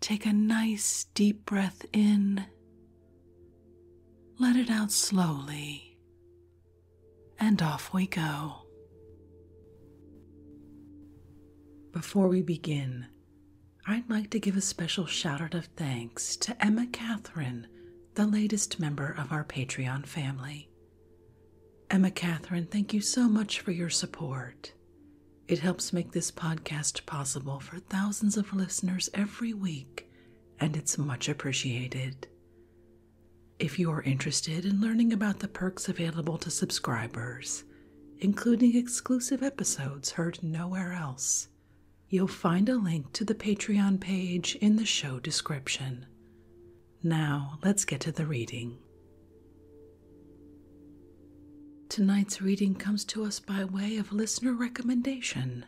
Take a nice deep breath in, let it out slowly, and off we go. Before we begin, I'd like to give a special shout out of thanks to Emma Catherine, the latest member of our Patreon family. Emma Catherine, thank you so much for your support. It helps make this podcast possible for thousands of listeners every week, and it's much appreciated. If you are interested in learning about the perks available to subscribers, including exclusive episodes heard nowhere else, you'll find a link to the Patreon page in the show description. Now, let's get to the reading. Tonight's reading comes to us by way of listener recommendation.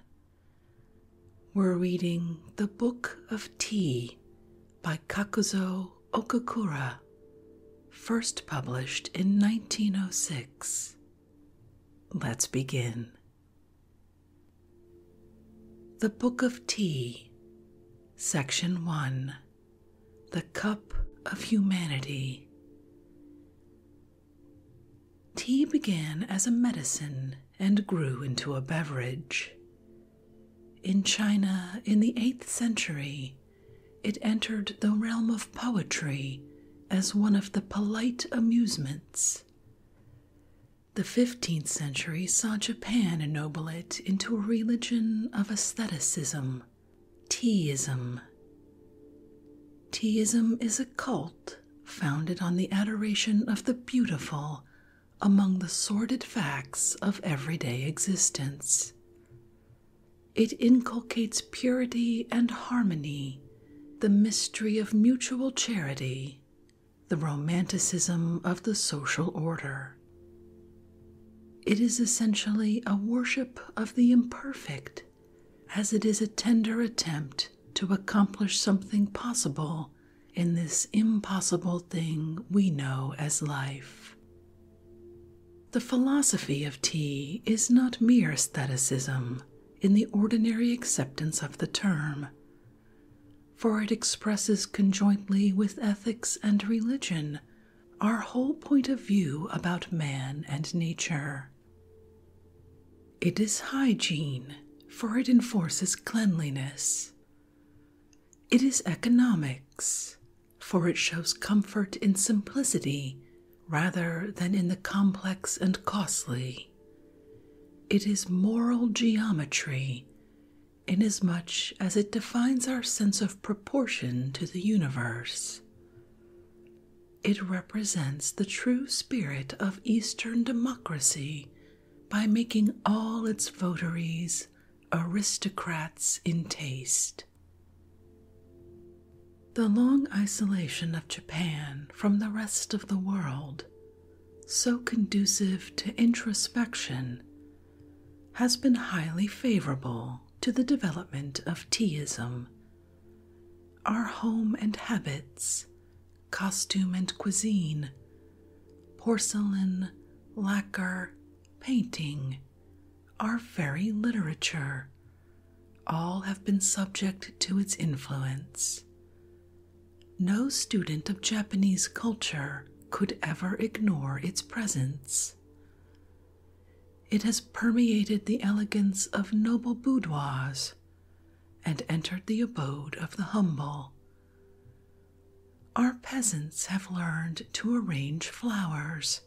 We're reading The Book of Tea by Kakuzo Okakura, first published in 1906. Let's begin. The Book of Tea, Section 1 The Cup of Humanity. Tea began as a medicine and grew into a beverage. In China in the 8th century, it entered the realm of poetry as one of the polite amusements. The 15th century saw Japan ennoble it into a religion of aestheticism Teism. Teism is a cult founded on the adoration of the beautiful among the sordid facts of everyday existence. It inculcates purity and harmony, the mystery of mutual charity, the romanticism of the social order. It is essentially a worship of the imperfect as it is a tender attempt to accomplish something possible in this impossible thing we know as life. The philosophy of tea is not mere aestheticism in the ordinary acceptance of the term, for it expresses conjointly with ethics and religion our whole point of view about man and nature. It is hygiene, for it enforces cleanliness. It is economics, for it shows comfort in simplicity rather than in the complex and costly. It is moral geometry, inasmuch as it defines our sense of proportion to the universe. It represents the true spirit of Eastern democracy by making all its votaries aristocrats in taste. The long isolation of Japan from the rest of the world, so conducive to introspection, has been highly favorable to the development of teaism our home and habits, costume and cuisine, porcelain, lacquer, painting, our very literature, all have been subject to its influence. No student of Japanese culture could ever ignore its presence. It has permeated the elegance of noble boudoirs and entered the abode of the humble. Our peasants have learned to arrange flowers,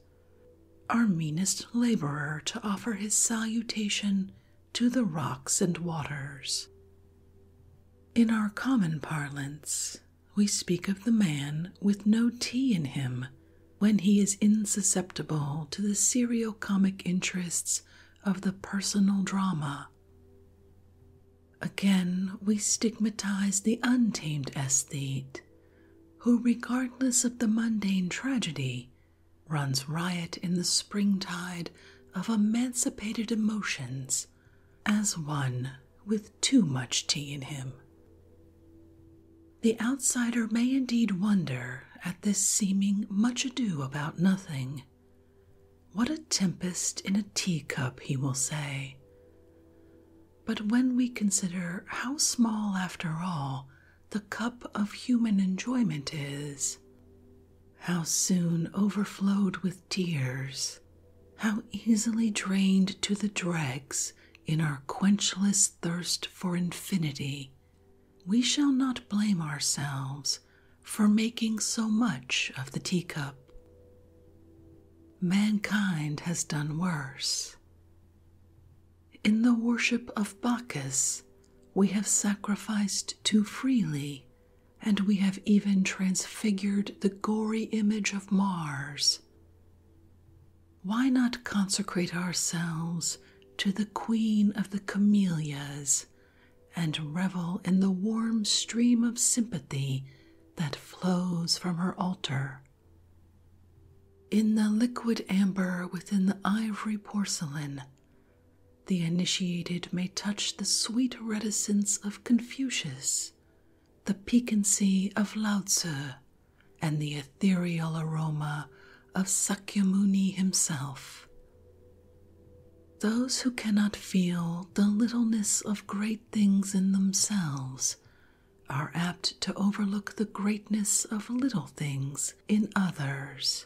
our meanest laborer to offer his salutation to the rocks and waters. In our common parlance, we speak of the man with no tea in him when he is insusceptible to the serio comic interests of the personal drama. Again, we stigmatize the untamed aesthete, who, regardless of the mundane tragedy, runs riot in the springtide of emancipated emotions as one with too much tea in him. The outsider may indeed wonder at this seeming much ado about nothing. What a tempest in a teacup, he will say. But when we consider how small, after all, the cup of human enjoyment is, how soon overflowed with tears, how easily drained to the dregs in our quenchless thirst for infinity we shall not blame ourselves for making so much of the teacup. Mankind has done worse. In the worship of Bacchus, we have sacrificed too freely, and we have even transfigured the gory image of Mars. Why not consecrate ourselves to the Queen of the Camellias and revel in the warm stream of sympathy that flows from her altar? In the liquid amber within the ivory porcelain, the initiated may touch the sweet reticence of Confucius, the piquancy of Lao Tzu, and the ethereal aroma of Sakyo-muni himself. Those who cannot feel the littleness of great things in themselves are apt to overlook the greatness of little things in others.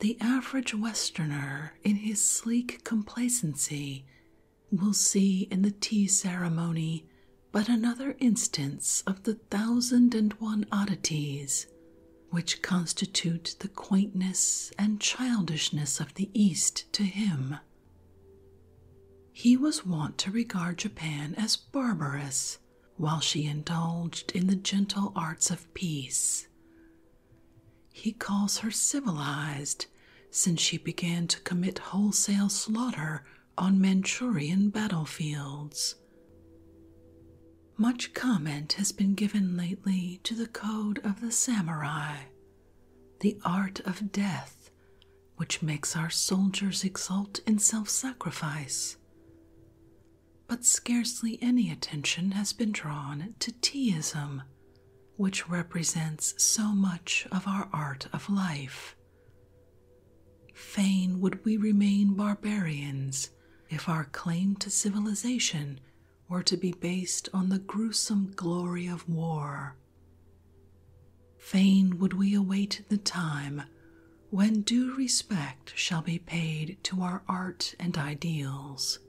The average Westerner, in his sleek complacency, will see in the tea ceremony but another instance of the thousand and one oddities which constitute the quaintness and childishness of the East to him. He was wont to regard Japan as barbarous while she indulged in the gentle arts of peace. He calls her civilized since she began to commit wholesale slaughter on Manchurian battlefields. Much comment has been given lately to the code of the samurai, the art of death, which makes our soldiers exult in self sacrifice. But scarcely any attention has been drawn to teaism, which represents so much of our art of life. Fain would we remain barbarians if our claim to civilization were to be based on the gruesome glory of war. Fain would we await the time when due respect shall be paid to our art and ideals.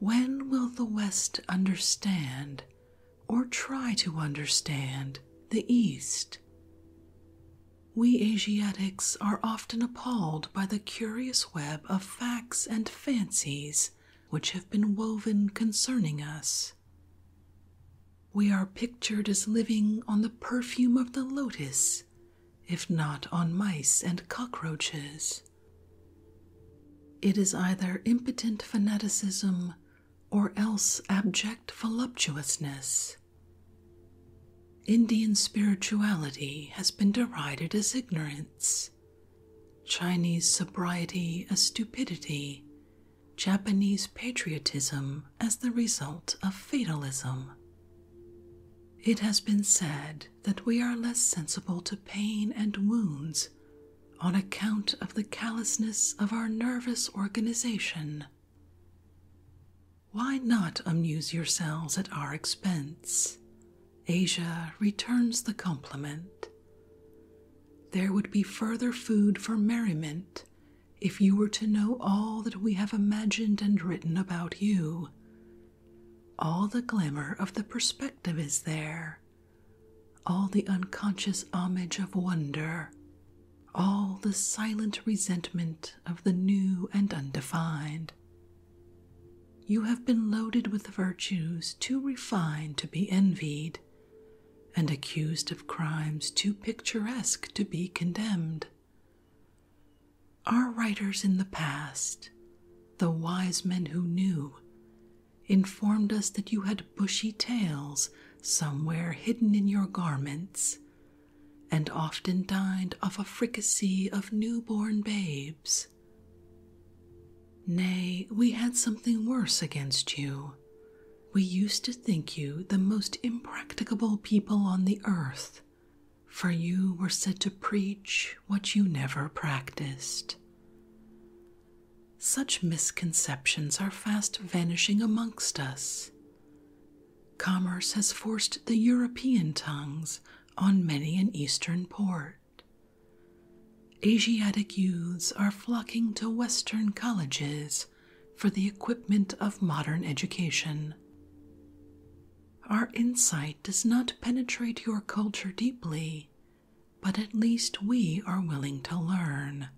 When will the West understand, or try to understand, the East? We Asiatics are often appalled by the curious web of facts and fancies which have been woven concerning us. We are pictured as living on the perfume of the lotus, if not on mice and cockroaches. It is either impotent fanaticism or else abject voluptuousness. Indian spirituality has been derided as ignorance, Chinese sobriety as stupidity, Japanese patriotism as the result of fatalism. It has been said that we are less sensible to pain and wounds on account of the callousness of our nervous organization why not amuse yourselves at our expense? Asia returns the compliment. There would be further food for merriment if you were to know all that we have imagined and written about you. All the glamour of the perspective is there, all the unconscious homage of wonder, all the silent resentment of the new and undefined. You have been loaded with virtues too refined to be envied, and accused of crimes too picturesque to be condemned. Our writers in the past, the wise men who knew, informed us that you had bushy tails somewhere hidden in your garments, and often dined off a fricassee of newborn babes. Nay, we had something worse against you. We used to think you the most impracticable people on the earth, for you were said to preach what you never practiced. Such misconceptions are fast vanishing amongst us. Commerce has forced the European tongues on many an eastern port. Asiatic youths are flocking to Western colleges for the equipment of modern education. Our insight does not penetrate your culture deeply, but at least we are willing to learn.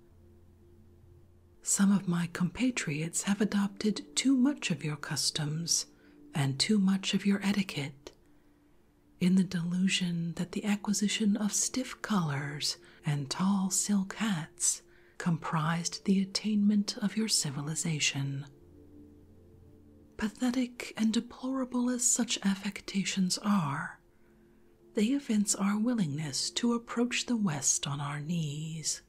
Some of my compatriots have adopted too much of your customs and too much of your etiquette, in the delusion that the acquisition of stiff collars and tall silk hats comprised the attainment of your civilization. Pathetic and deplorable as such affectations are, they evince our willingness to approach the West on our knees.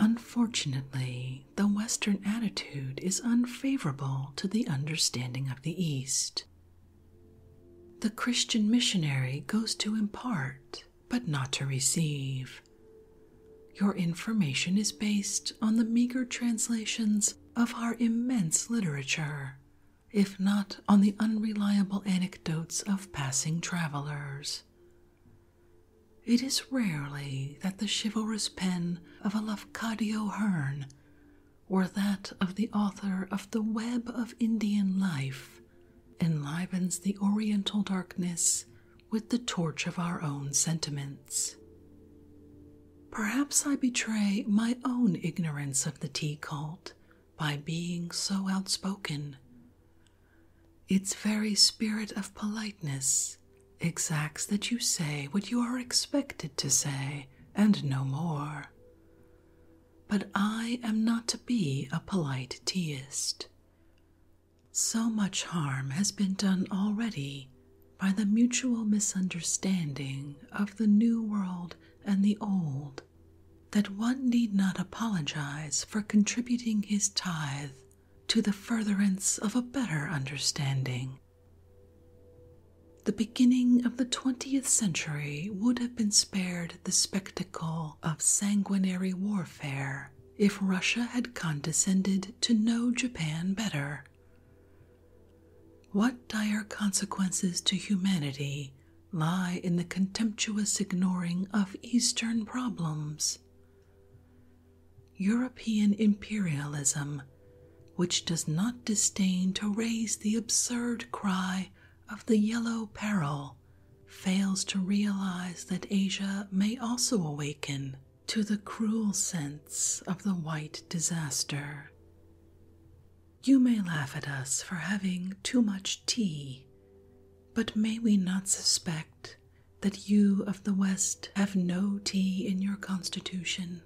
Unfortunately, the Western attitude is unfavorable to the understanding of the East. The Christian missionary goes to impart, but not to receive. Your information is based on the meager translations of our immense literature, if not on the unreliable anecdotes of passing travelers. It is rarely that the chivalrous pen of a Lafcadio Hearn or that of the author of The Web of Indian Life enlivens the oriental darkness with the torch of our own sentiments. Perhaps I betray my own ignorance of the tea cult by being so outspoken, its very spirit of politeness exacts that you say what you are expected to say, and no more. But I am not to be a polite teaist. So much harm has been done already by the mutual misunderstanding of the New World and the Old that one need not apologize for contributing his tithe to the furtherance of a better understanding. The beginning of the 20th century would have been spared the spectacle of sanguinary warfare if Russia had condescended to know Japan better. What dire consequences to humanity lie in the contemptuous ignoring of Eastern problems. European imperialism, which does not disdain to raise the absurd cry of the yellow peril, fails to realize that Asia may also awaken to the cruel sense of the white disaster. You may laugh at us for having too much tea, but may we not suspect that you of the West have no tea in your constitution?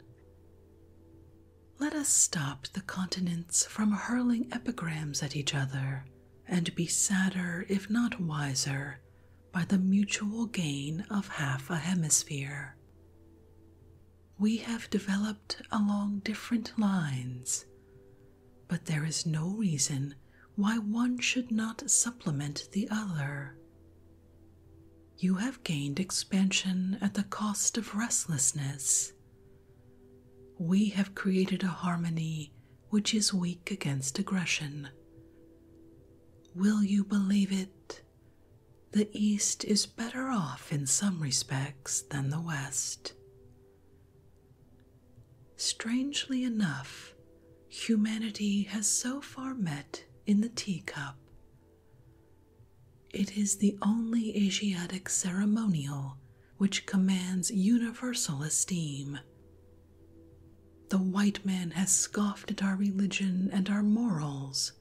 Let us stop the continents from hurling epigrams at each other, and be sadder, if not wiser, by the mutual gain of half a hemisphere. We have developed along different lines, but there is no reason why one should not supplement the other. You have gained expansion at the cost of restlessness. We have created a harmony which is weak against aggression. Will you believe it? The East is better off in some respects than the West. Strangely enough, humanity has so far met in the teacup. It is the only Asiatic ceremonial which commands universal esteem. The white man has scoffed at our religion and our morals,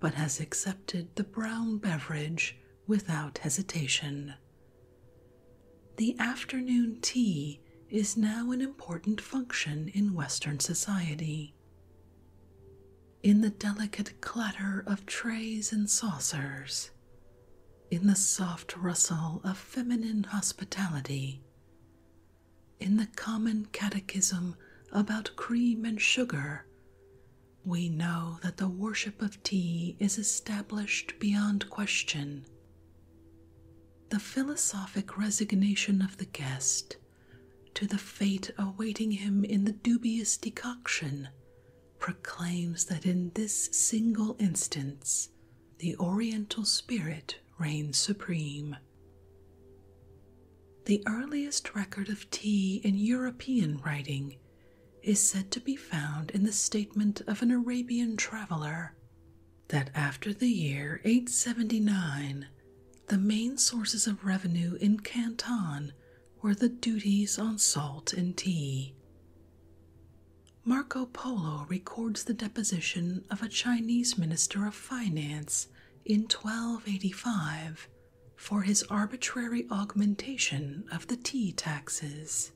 but has accepted the brown beverage without hesitation. The afternoon tea is now an important function in Western society. In the delicate clatter of trays and saucers, in the soft rustle of feminine hospitality, in the common catechism about cream and sugar, we know that the worship of tea is established beyond question the philosophic resignation of the guest to the fate awaiting him in the dubious decoction proclaims that in this single instance the Oriental spirit reigns supreme. The earliest record of tea in European writing is said to be found in the statement of an Arabian traveler that after the year 879, the main sources of revenue in Canton were the duties on salt and tea. Marco Polo records the deposition of a Chinese minister of finance in 1285 for his arbitrary augmentation of the tea taxes.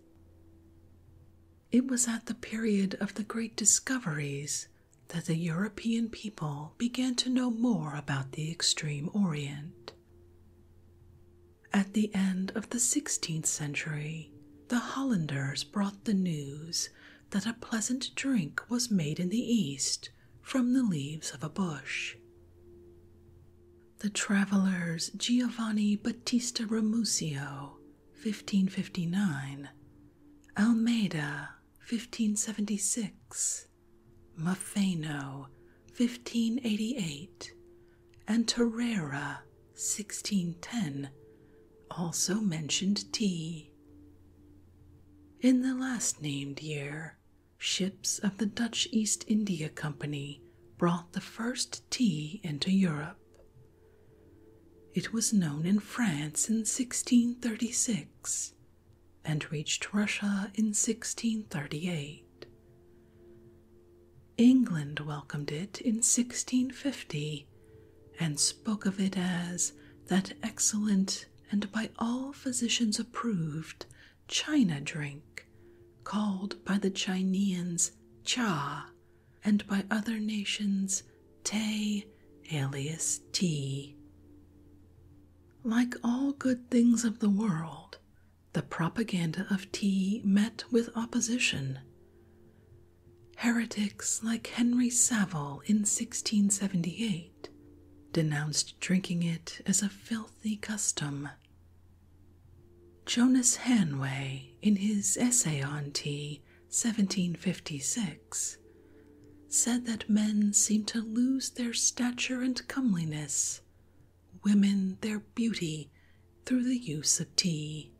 It was at the period of the great discoveries that the European people began to know more about the extreme Orient. At the end of the 16th century, the Hollanders brought the news that a pleasant drink was made in the East from the leaves of a bush. The traveller's Giovanni Battista Ramusio 1559, Almeida, 1576, Mafeno 1588, and Terrera, 1610, also mentioned tea. In the last named year, ships of the Dutch East India Company brought the first tea into Europe. It was known in France in 1636 and reached Russia in 1638. England welcomed it in 1650 and spoke of it as that excellent and by all physicians approved China drink called by the Chinese cha and by other nations Te alias tea. Like all good things of the world, the propaganda of tea met with opposition. Heretics like Henry Savile in 1678 denounced drinking it as a filthy custom. Jonas Hanway, in his essay on tea, 1756, said that men seem to lose their stature and comeliness, women their beauty, through the use of tea.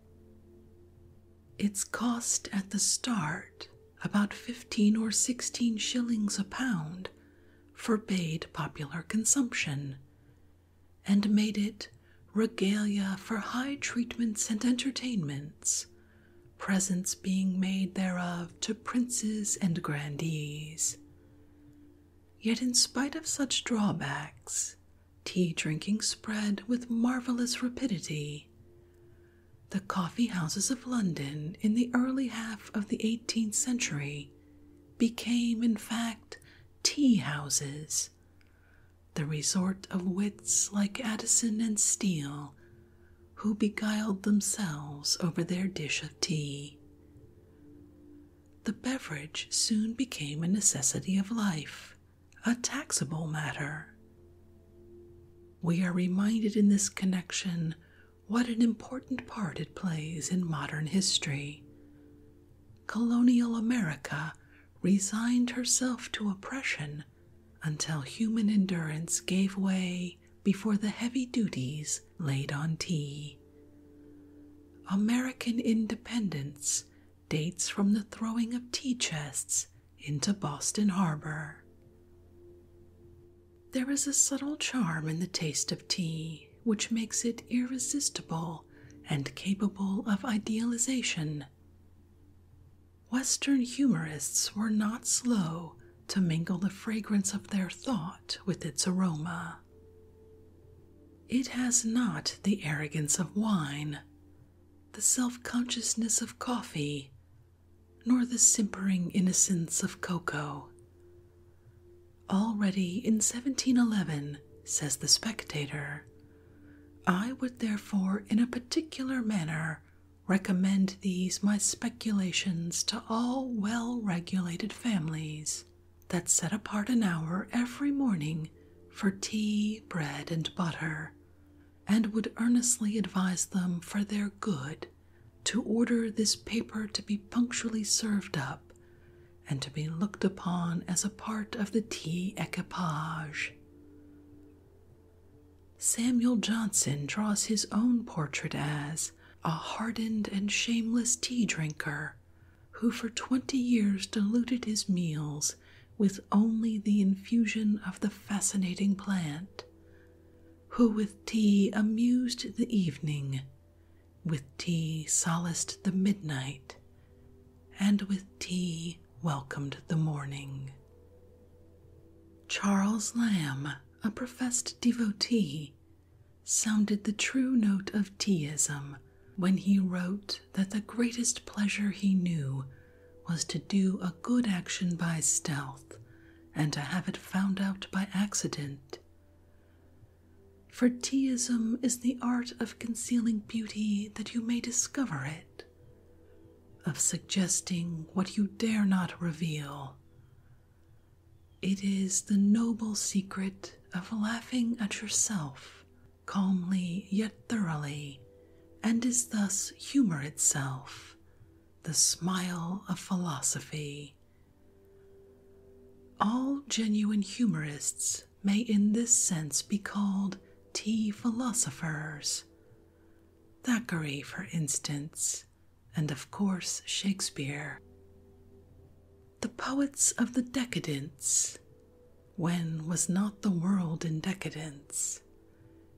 Its cost at the start, about fifteen or sixteen shillings a pound, forbade popular consumption, and made it regalia for high treatments and entertainments, presents being made thereof to princes and grandees. Yet, in spite of such drawbacks, tea drinking spread with marvelous rapidity. The coffee houses of London in the early half of the 18th century became, in fact, tea houses, the resort of wits like Addison and Steele, who beguiled themselves over their dish of tea. The beverage soon became a necessity of life, a taxable matter. We are reminded in this connection what an important part it plays in modern history. Colonial America resigned herself to oppression until human endurance gave way before the heavy duties laid on tea. American independence dates from the throwing of tea chests into Boston Harbor. There is a subtle charm in the taste of tea which makes it irresistible and capable of idealization Western humorists were not slow to mingle the fragrance of their thought with its aroma. It has not the arrogance of wine, the self consciousness of coffee, nor the simpering innocence of cocoa. Already in 1711, says the spectator, I would therefore, in a particular manner, recommend these my speculations to all well regulated families that set apart an hour every morning for tea, bread, and butter, and would earnestly advise them for their good to order this paper to be punctually served up and to be looked upon as a part of the tea equipage. Samuel Johnson draws his own portrait as a hardened and shameless tea drinker who for twenty years diluted his meals with only the infusion of the fascinating plant, who with tea amused the evening, with tea solaced the midnight, and with tea welcomed the morning. Charles Lamb, a professed devotee, sounded the true note of teaism when he wrote that the greatest pleasure he knew was to do a good action by stealth and to have it found out by accident. For teaism is the art of concealing beauty that you may discover it of suggesting what you dare not reveal. It is the noble secret of laughing at yourself, calmly yet thoroughly, and is thus humor itself, the smile of philosophy. All genuine humorists may in this sense be called tea philosophers. Thackeray, for instance, and of course Shakespeare. The poets of the decadence. When was not the world in decadence?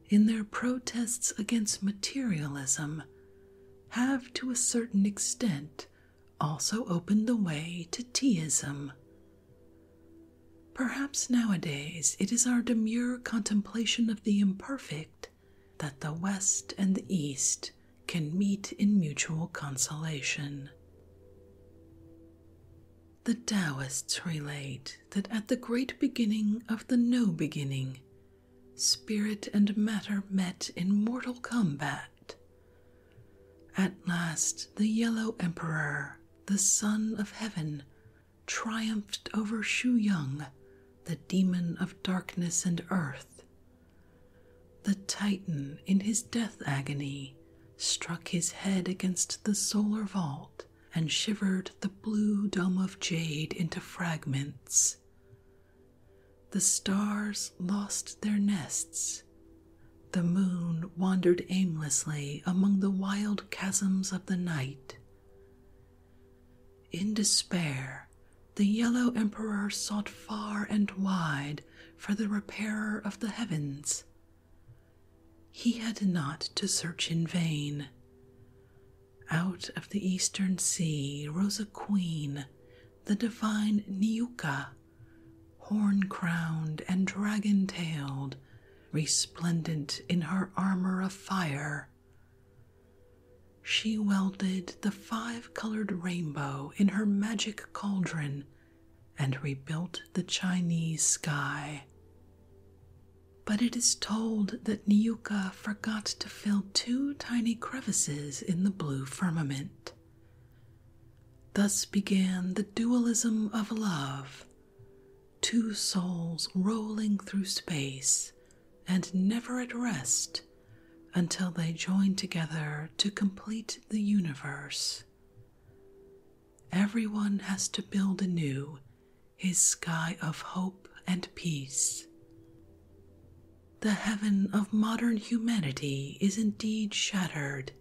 In their protests against materialism, have to a certain extent also opened the way to teaism, Perhaps nowadays it is our demure contemplation of the imperfect that the West and the East can meet in mutual consolation. The Taoists relate that at the great beginning of the no beginning, spirit and matter met in mortal combat. At last, the Yellow Emperor the sun of Heaven, triumphed over Shu Yung, the demon of darkness and earth. The Titan, in his death agony, struck his head against the solar vault and shivered the blue dome of jade into fragments. The stars lost their nests the moon wandered aimlessly among the wild chasms of the night. In despair, the yellow emperor sought far and wide for the repairer of the heavens. He had not to search in vain. Out of the eastern sea rose a queen, the divine Niuka, horn crowned and dragon tailed, resplendent in her armor of fire. She welded the five colored rainbow in her magic cauldron and rebuilt the Chinese sky. But it is told that Niuka forgot to fill two tiny crevices in the blue firmament. Thus began the dualism of love, two souls rolling through space and never at rest until they join together to complete the universe. Everyone has to build anew his sky of hope and peace. The heaven of modern humanity is indeed shattered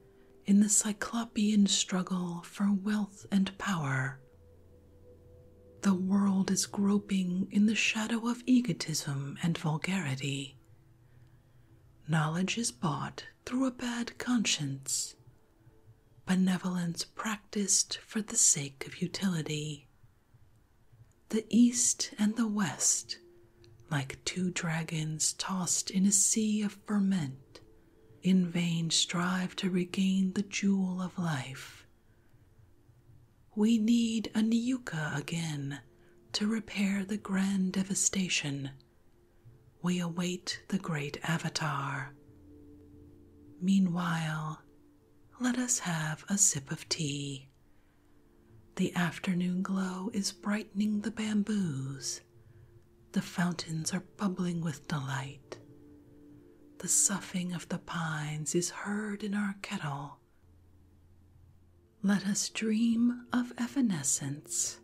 in the Cyclopean struggle for wealth and power. The world is groping in the shadow of egotism and vulgarity. Knowledge is bought through a bad conscience, benevolence practiced for the sake of utility. The East and the West, like two dragons tossed in a sea of ferment, in vain strive to regain the jewel of life. We need a Niuka again to repair the grand devastation. We await the great avatar. Meanwhile, let us have a sip of tea. The afternoon glow is brightening the bamboos the fountains are bubbling with delight. The soughing of the pines is heard in our kettle. Let us dream of evanescence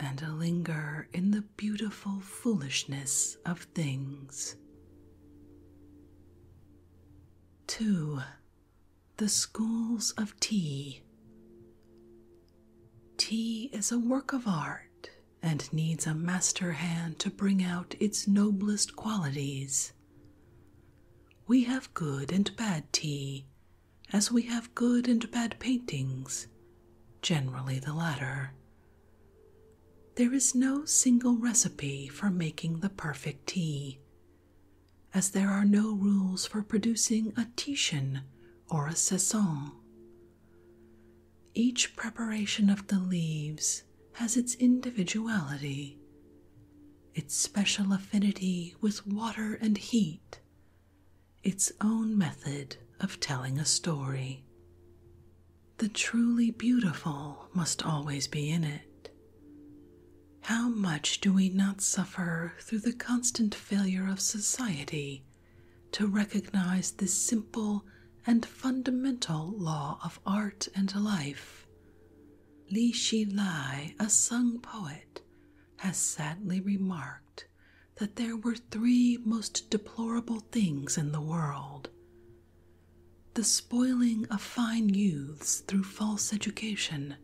and linger in the beautiful foolishness of things. 2. The Schools of Tea. Tea is a work of art and needs a master hand to bring out its noblest qualities. We have good and bad tea, as we have good and bad paintings, generally the latter. There is no single recipe for making the perfect tea, as there are no rules for producing a Titian or a Saison, each preparation of the leaves has its individuality, its special affinity with water and heat, its own method of telling a story. The truly beautiful must always be in it. How much do we not suffer through the constant failure of society to recognize this simple and fundamental law of art and life. Li Shi Lai, a Sung poet, has sadly remarked that there were three most deplorable things in the world the spoiling of fine youths through false education,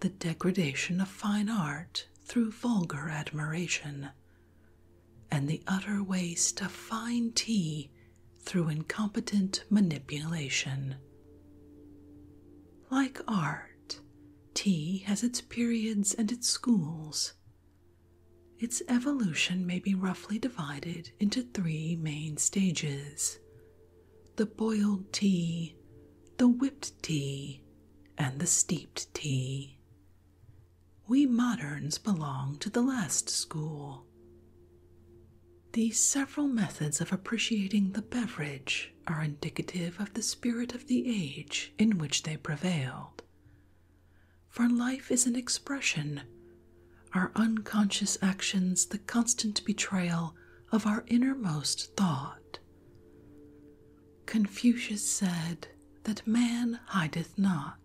the degradation of fine art through vulgar admiration, and the utter waste of fine tea through incompetent manipulation. Like art, tea has its periods and its schools. Its evolution may be roughly divided into three main stages the boiled tea, the whipped tea, and the steeped tea. We moderns belong to the last school. These several methods of appreciating the beverage are indicative of the spirit of the age in which they prevailed. For life is an expression, our unconscious actions the constant betrayal of our innermost thought. Confucius said that man hideth not.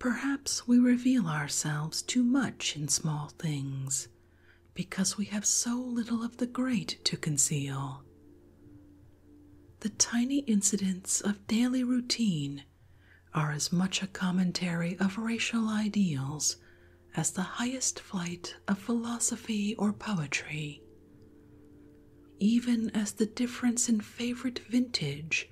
Perhaps we reveal ourselves too much in small things because we have so little of the great to conceal. The tiny incidents of daily routine are as much a commentary of racial ideals as the highest flight of philosophy or poetry even as the difference in favorite vintage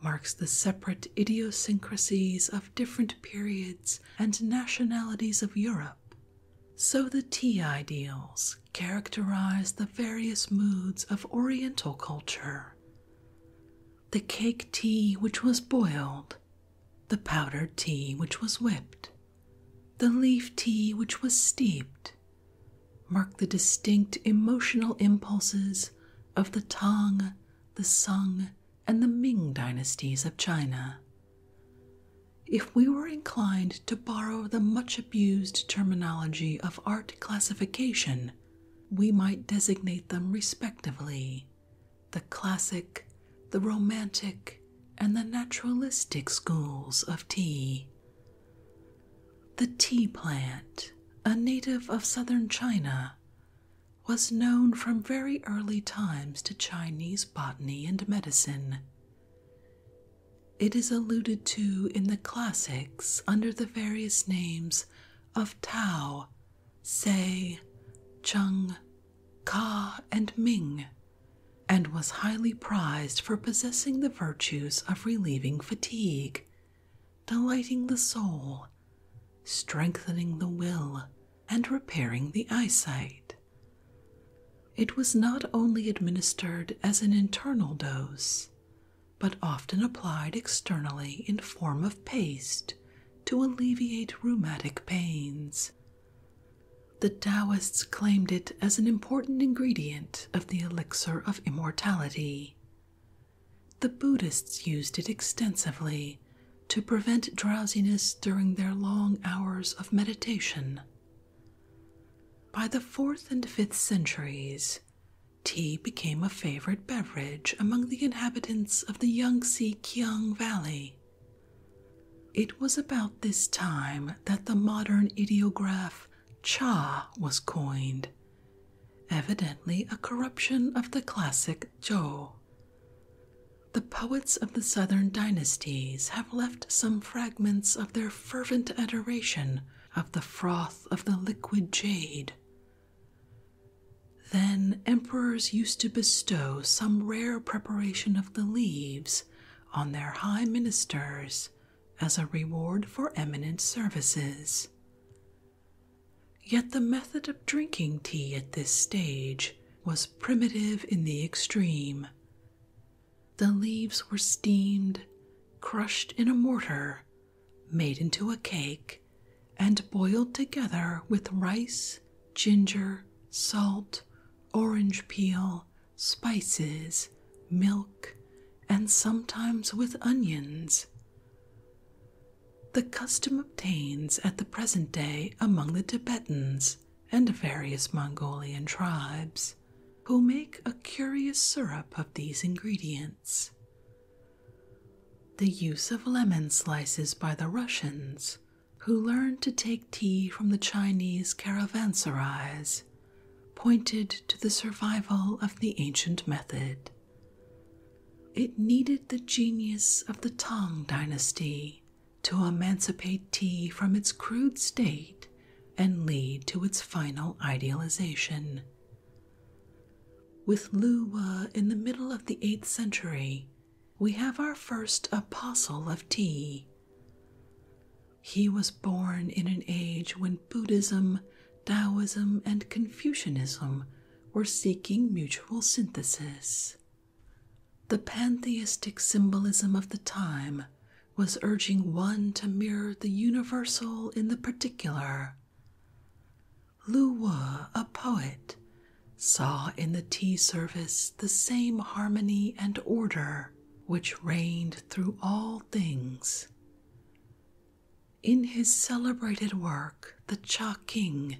marks the separate idiosyncrasies of different periods and nationalities of Europe, so the tea ideals characterize the various moods of Oriental culture. The cake tea which was boiled, the powdered tea which was whipped, the leaf tea which was steeped, mark the distinct emotional impulses of the Tang, the Sung, and the Ming dynasties of China. If we were inclined to borrow the much abused terminology of art classification, we might designate them respectively the classic, the romantic, and the naturalistic schools of tea, the tea plant, a native of southern China, was known from very early times to Chinese botany and medicine. It is alluded to in the classics under the various names of Tao, Se, Chung, Ka, and Ming, and was highly prized for possessing the virtues of relieving fatigue, delighting the soul, strengthening the will, and repairing the eyesight. It was not only administered as an internal dose, but often applied externally in form of paste to alleviate rheumatic pains. The Taoists claimed it as an important ingredient of the elixir of immortality. The Buddhists used it extensively to prevent drowsiness during their long hours of meditation. By the fourth and fifth centuries, tea became a favorite beverage among the inhabitants of the Yangtze Kiang Valley. It was about this time that the modern ideograph cha was coined, evidently a corruption of the classic jo. The poets of the southern dynasties have left some fragments of their fervent adoration of the froth of the liquid jade. Then emperors used to bestow some rare preparation of the leaves on their high ministers as a reward for eminent services. Yet the method of drinking tea at this stage was primitive in the extreme. The leaves were steamed, crushed in a mortar, made into a cake, and boiled together with rice, ginger, salt, orange peel, spices, milk, and sometimes with onions. The custom obtains at the present day among the Tibetans and various Mongolian tribes, who make a curious syrup of these ingredients. The use of lemon slices by the Russians, who learned to take tea from the Chinese caravanserais, pointed to the survival of the ancient method. It needed the genius of the Tang dynasty to emancipate tea from its crude state and lead to its final idealization. With Luwa in the middle of the 8th century, we have our first apostle of tea. He was born in an age when Buddhism, Taoism, and Confucianism were seeking mutual synthesis. The pantheistic symbolism of the time was urging one to mirror the universal in the particular. Lu Wu, a poet, saw in the tea service the same harmony and order which reigned through all things. In his celebrated work, The Cha King,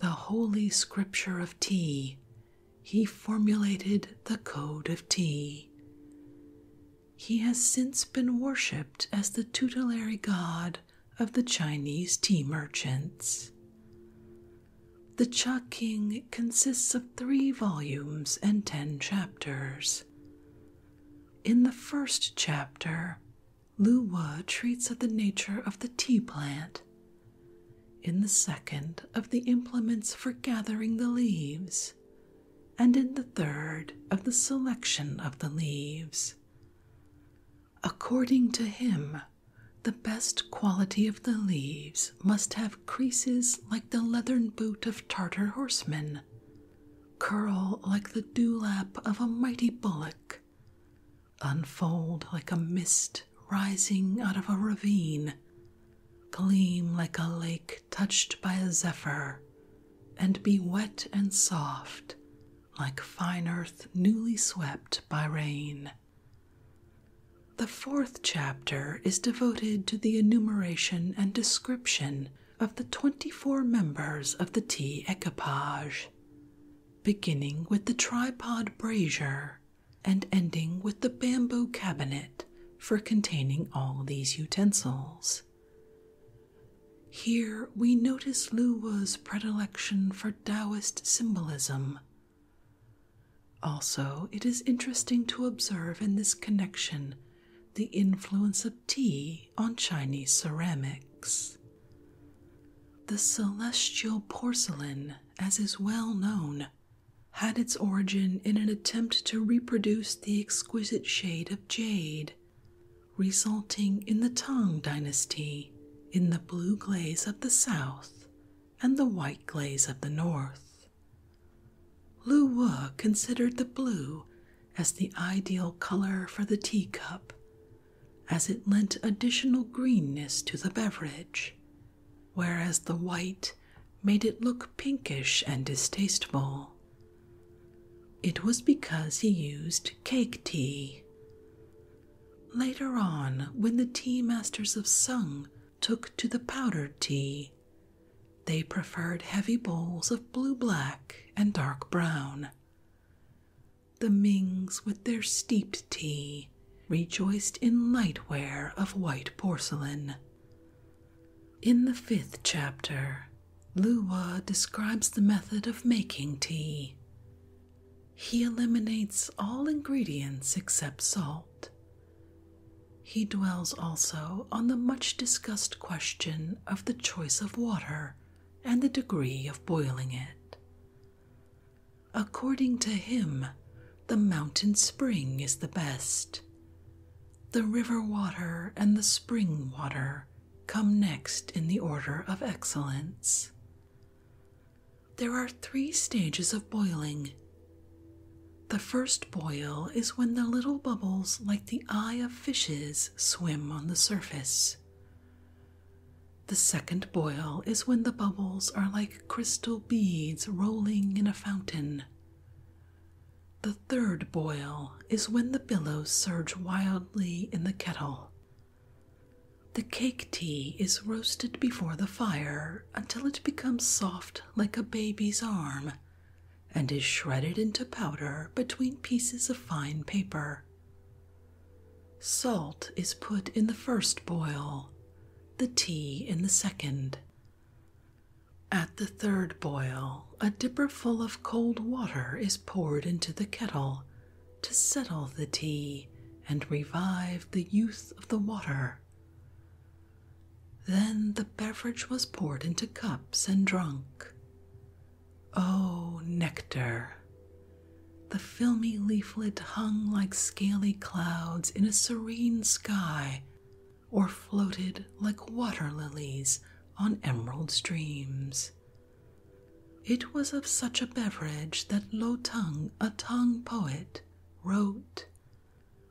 the holy scripture of tea, he formulated the Code of Tea. He has since been worshipped as the tutelary god of the Chinese tea merchants. The Cha King consists of three volumes and ten chapters. In the first chapter, Lu Luwa treats of the nature of the tea plant. In the second, of the implements for gathering the leaves, and in the third, of the selection of the leaves. According to him, the best quality of the leaves must have creases like the leathern boot of Tartar horsemen, curl like the dewlap of a mighty bullock, unfold like a mist rising out of a ravine, gleam like a lake touched by a zephyr, and be wet and soft like fine earth newly swept by rain. The fourth chapter is devoted to the enumeration and description of the twenty four members of the tea equipage, beginning with the tripod brazier and ending with the bamboo cabinet for containing all these utensils. Here we notice Lu Wu's predilection for Taoist symbolism. Also, it is interesting to observe in this connection the influence of tea on Chinese ceramics. The celestial porcelain, as is well known, had its origin in an attempt to reproduce the exquisite shade of jade, resulting in the Tang dynasty in the blue glaze of the south and the white glaze of the north, Lu Wu considered the blue as the ideal color for the teacup, as it lent additional greenness to the beverage, whereas the white made it look pinkish and distasteful. It was because he used cake tea. Later on, when the tea masters of Sung took to the powdered tea, they preferred heavy bowls of blue black and dark brown. The Mings, with their steeped tea, rejoiced in lightware of white porcelain. In the fifth chapter, Luwa describes the method of making tea. He eliminates all ingredients except salt. He dwells also on the much discussed question of the choice of water and the degree of boiling it. According to him, the mountain spring is the best. The river water and the spring water come next in the order of excellence. There are three stages of boiling. The first boil is when the little bubbles like the eye of fishes swim on the surface. The second boil is when the bubbles are like crystal beads rolling in a fountain. The third boil is when the billows surge wildly in the kettle. The cake tea is roasted before the fire until it becomes soft like a baby's arm and is shredded into powder between pieces of fine paper. Salt is put in the first boil, the tea in the second. At the third boil, a dipper full of cold water is poured into the kettle to settle the tea and revive the youth of the water. Then the beverage was poured into cups and drunk. Oh, nectar! The filmy leaflet hung like scaly clouds in a serene sky, or floated like water lilies on emerald streams. It was of such a beverage that Lo Tung, a Tang poet, wrote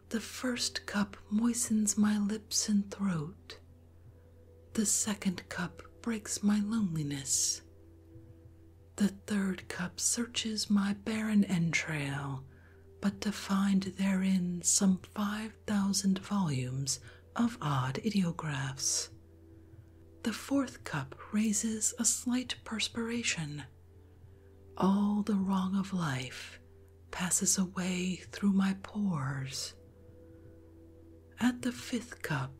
The first cup moistens my lips and throat, the second cup breaks my loneliness. The third cup searches my barren entrail, but to find therein some five thousand volumes of odd ideographs. The fourth cup raises a slight perspiration. All the wrong of life passes away through my pores. At the fifth cup,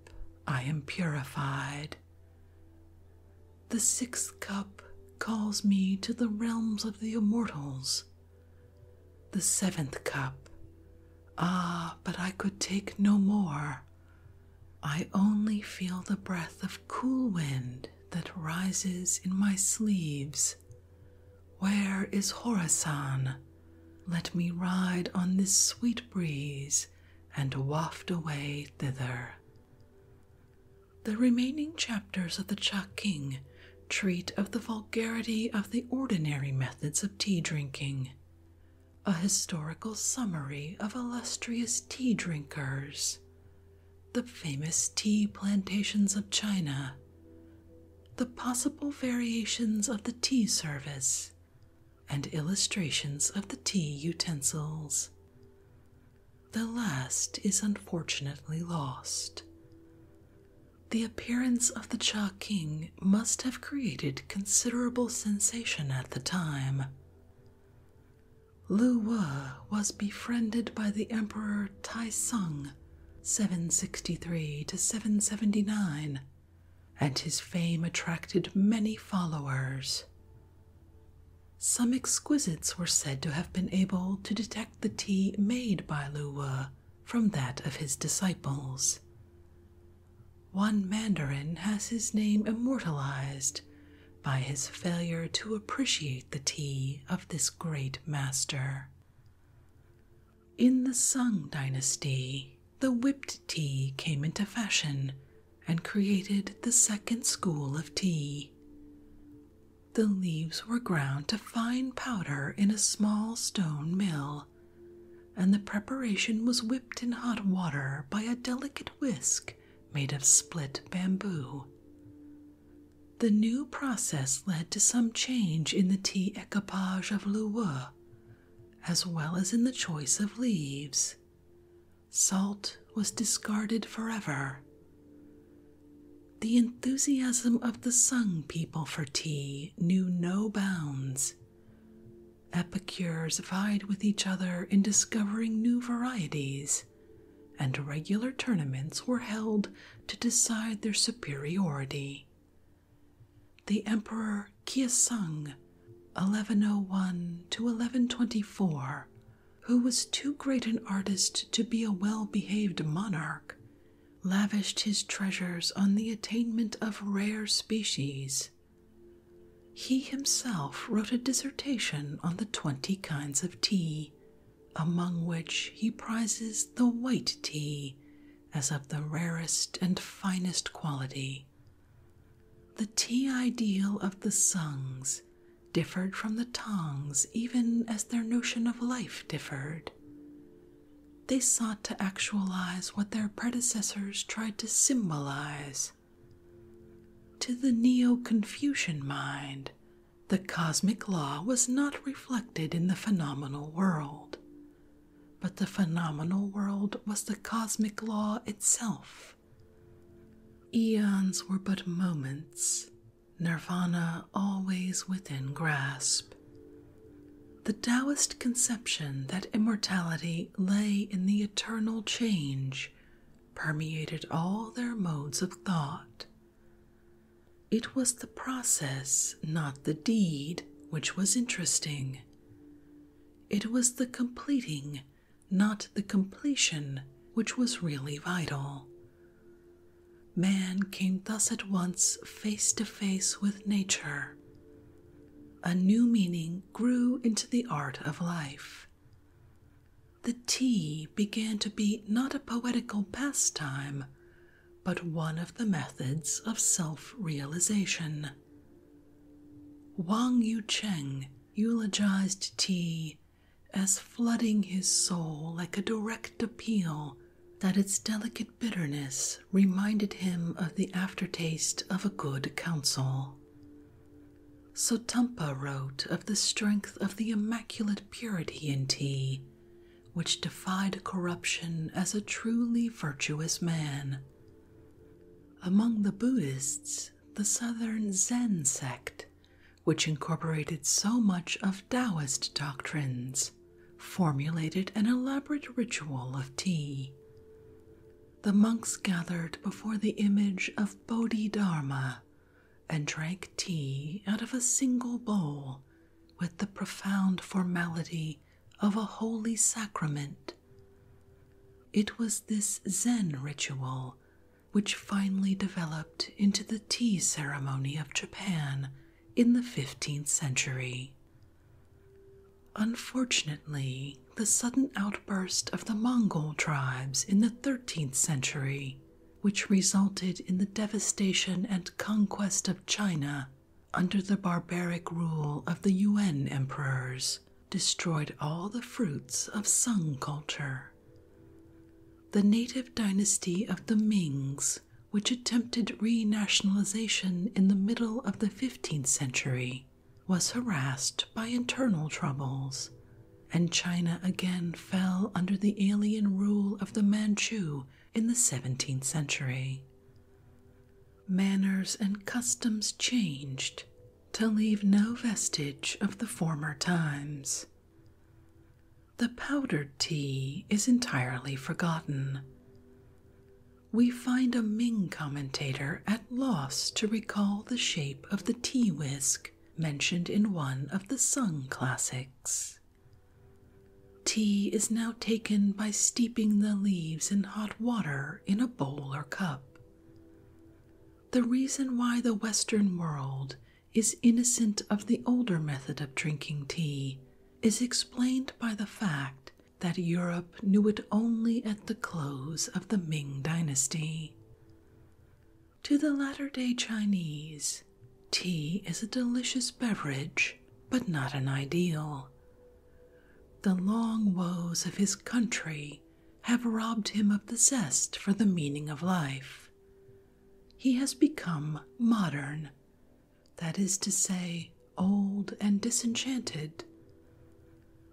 I am purified. The sixth cup calls me to the realms of the immortals. The seventh cup, ah, but I could take no more. I only feel the breath of cool wind that rises in my sleeves where is Horasan? Let me ride on this sweet breeze and waft away thither. The remaining chapters of the Chaking treat of the vulgarity of the ordinary methods of tea drinking, a historical summary of illustrious tea drinkers, the famous tea plantations of China, the possible variations of the tea service, and illustrations of the tea utensils. The last is unfortunately lost. The appearance of the Cha King must have created considerable sensation at the time. Lu Wu was befriended by the Emperor Tai Sung 763 to 779, and his fame attracted many followers. Some exquisites were said to have been able to detect the tea made by Luwa from that of his disciples. One Mandarin has his name immortalized by his failure to appreciate the tea of this great master. In the Sung dynasty, the whipped tea came into fashion and created the second school of tea. The leaves were ground to fine powder in a small stone mill, and the preparation was whipped in hot water by a delicate whisk made of split bamboo. The new process led to some change in the tea equipage of Luwa, as well as in the choice of leaves. Salt was discarded forever. The enthusiasm of the Sung people for tea knew no bounds. Epicures vied with each other in discovering new varieties, and regular tournaments were held to decide their superiority. The Emperor Kia Sung, 1101 to 1124, who was too great an artist to be a well behaved monarch, lavished his treasures on the attainment of rare species. He himself wrote a dissertation on the twenty kinds of tea, among which he prizes the white tea as of the rarest and finest quality. The tea ideal of the Sungs differed from the Tongs even as their notion of life differed. They sought to actualize what their predecessors tried to symbolize. To the Neo Confucian mind, the cosmic law was not reflected in the phenomenal world, but the phenomenal world was the cosmic law itself. Eons were but moments, nirvana always within grasp. The Taoist conception that immortality lay in the eternal change permeated all their modes of thought. It was the process, not the deed, which was interesting. It was the completing, not the completion, which was really vital. Man came thus at once face to face with nature. A new meaning grew into the art of life. The tea began to be not a poetical pastime, but one of the methods of self realization. Wang Yucheng eulogized tea as flooding his soul like a direct appeal that its delicate bitterness reminded him of the aftertaste of a good counsel. Sotumpa wrote of the strength of the immaculate purity in tea which defied corruption as a truly virtuous man. Among the Buddhists, the southern Zen sect, which incorporated so much of Taoist doctrines, formulated an elaborate ritual of tea. The monks gathered before the image of Bodhidharma and drank tea out of a single bowl with the profound formality of a holy sacrament. It was this Zen ritual which finally developed into the tea ceremony of Japan in the 15th century. Unfortunately, the sudden outburst of the Mongol tribes in the 13th century, which resulted in the devastation and conquest of China, under the barbaric rule of the Yuan emperors, destroyed all the fruits of Sung culture. The native dynasty of the Mings, which attempted renationalization in the middle of the 15th century, was harassed by internal troubles, and China again fell under the alien rule of the Manchu in the 17th century manners and customs changed to leave no vestige of the former times. The powdered tea is entirely forgotten. We find a Ming commentator at loss to recall the shape of the tea whisk mentioned in one of the Sung classics. Tea is now taken by steeping the leaves in hot water in a bowl or cup. The reason why the Western world is innocent of the older method of drinking tea is explained by the fact that Europe knew it only at the close of the Ming Dynasty. To the latter day Chinese, tea is a delicious beverage, but not an ideal, the long woes of his country have robbed him of the zest for the meaning of life. He has become modern, that is to say, old and disenchanted.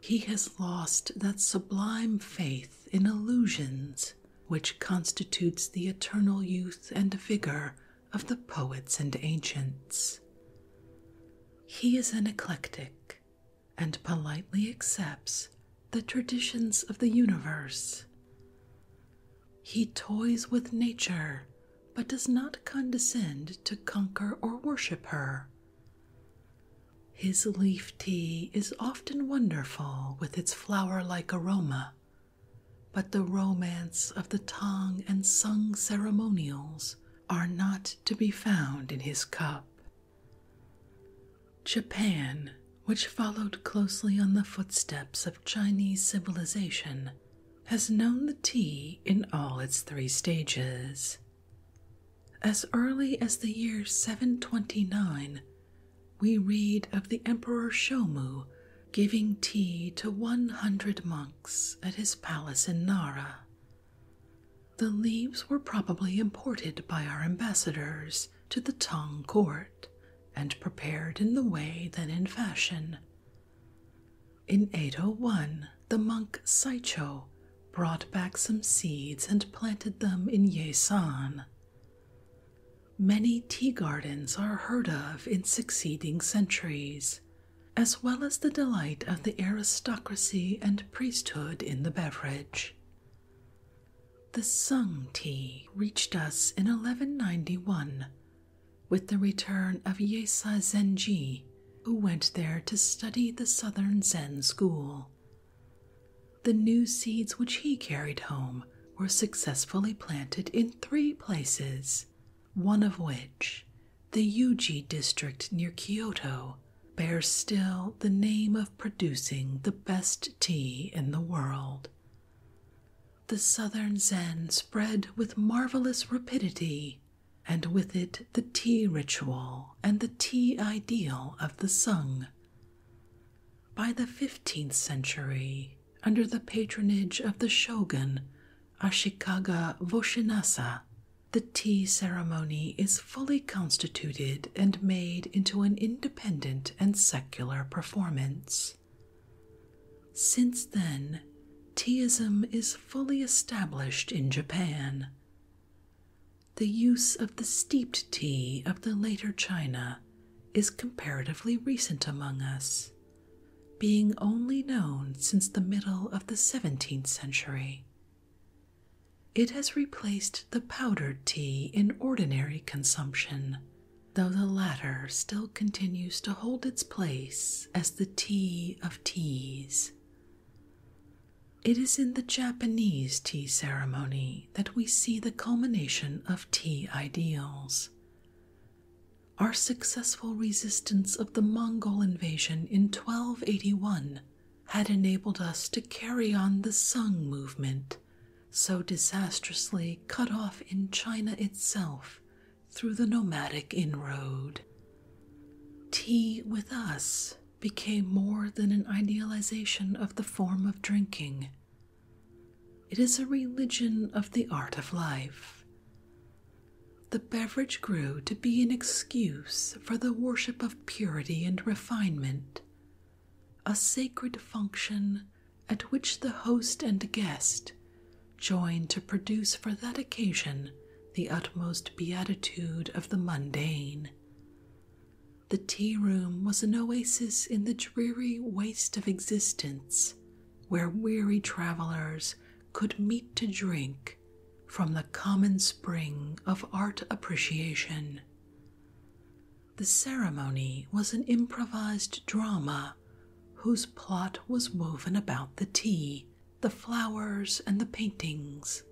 He has lost that sublime faith in illusions which constitutes the eternal youth and vigor of the poets and ancients. He is an eclectic and politely accepts the traditions of the universe. He toys with nature but does not condescend to conquer or worship her. His leaf tea is often wonderful with its flower like aroma, but the romance of the tongue and sung ceremonials are not to be found in his cup. Japan, which followed closely on the footsteps of Chinese civilization, has known the tea in all its three stages. As early as the year 729, we read of the Emperor Shomu giving tea to 100 monks at his palace in Nara. The leaves were probably imported by our ambassadors to the Tang court and prepared in the way then in fashion. In 801, the monk Saicho brought back some seeds and planted them in Yesan. Many tea gardens are heard of in succeeding centuries, as well as the delight of the aristocracy and priesthood in the beverage. The Sung tea reached us in 1191 with the return of Yesa Zenji, who went there to study the southern Zen school. The new seeds which he carried home were successfully planted in three places one of which, the Yuji district near Kyoto, bears still the name of producing the best tea in the world. The southern Zen spread with marvelous rapidity, and with it the tea ritual and the tea ideal of the Sung. By the 15th century, under the patronage of the shogun Ashikaga Voshinasa, the tea ceremony is fully constituted and made into an independent and secular performance. Since then, teaism is fully established in Japan. The use of the steeped tea of the later China is comparatively recent among us, being only known since the middle of the 17th century. It has replaced the powdered tea in ordinary consumption, though the latter still continues to hold its place as the tea of teas. It is in the Japanese tea ceremony that we see the culmination of tea ideals our successful resistance of the Mongol invasion in 1281 had enabled us to carry on the Sung movement, so disastrously cut off in China itself through the nomadic inroad. Tea with us became more than an idealization of the form of drinking. It is a religion of the art of life, the beverage grew to be an excuse for the worship of purity and refinement, a sacred function at which the host and guest joined to produce for that occasion the utmost beatitude of the mundane. The tea room was an oasis in the dreary waste of existence where weary travelers could meet to drink from the common spring of art appreciation. The ceremony was an improvised drama whose plot was woven about the tea, the flowers, and the paintings.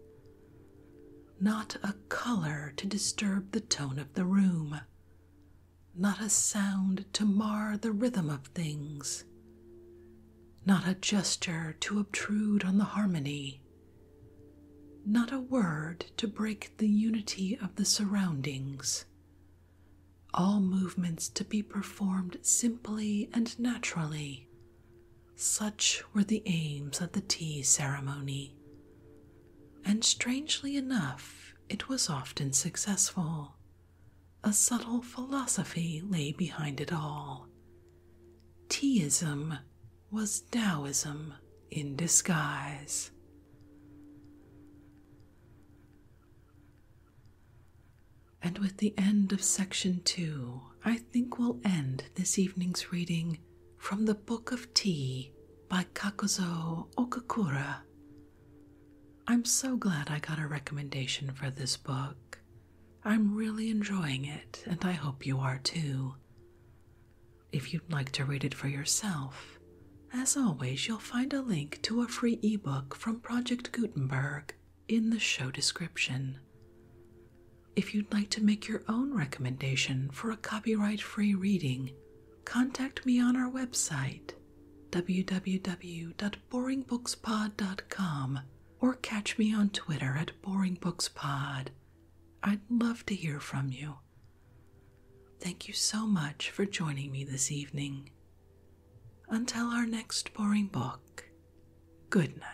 Not a color to disturb the tone of the room, not a sound to mar the rhythm of things not a gesture to obtrude on the harmony, not a word to break the unity of the surroundings. All movements to be performed simply and naturally. Such were the aims of the tea ceremony. And strangely enough, it was often successful. A subtle philosophy lay behind it all. Teaism was Taoism in disguise. And with the end of section two, I think we'll end this evening's reading from the Book of Tea by Kakuzo Okakura. I'm so glad I got a recommendation for this book. I'm really enjoying it, and I hope you are too. If you'd like to read it for yourself, as always, you'll find a link to a free ebook from Project Gutenberg in the show description. If you'd like to make your own recommendation for a copyright free reading, contact me on our website www boringbookspod.com or catch me on Twitter at boringbookspod. I'd love to hear from you. Thank you so much for joining me this evening. Until our next boring book, good night.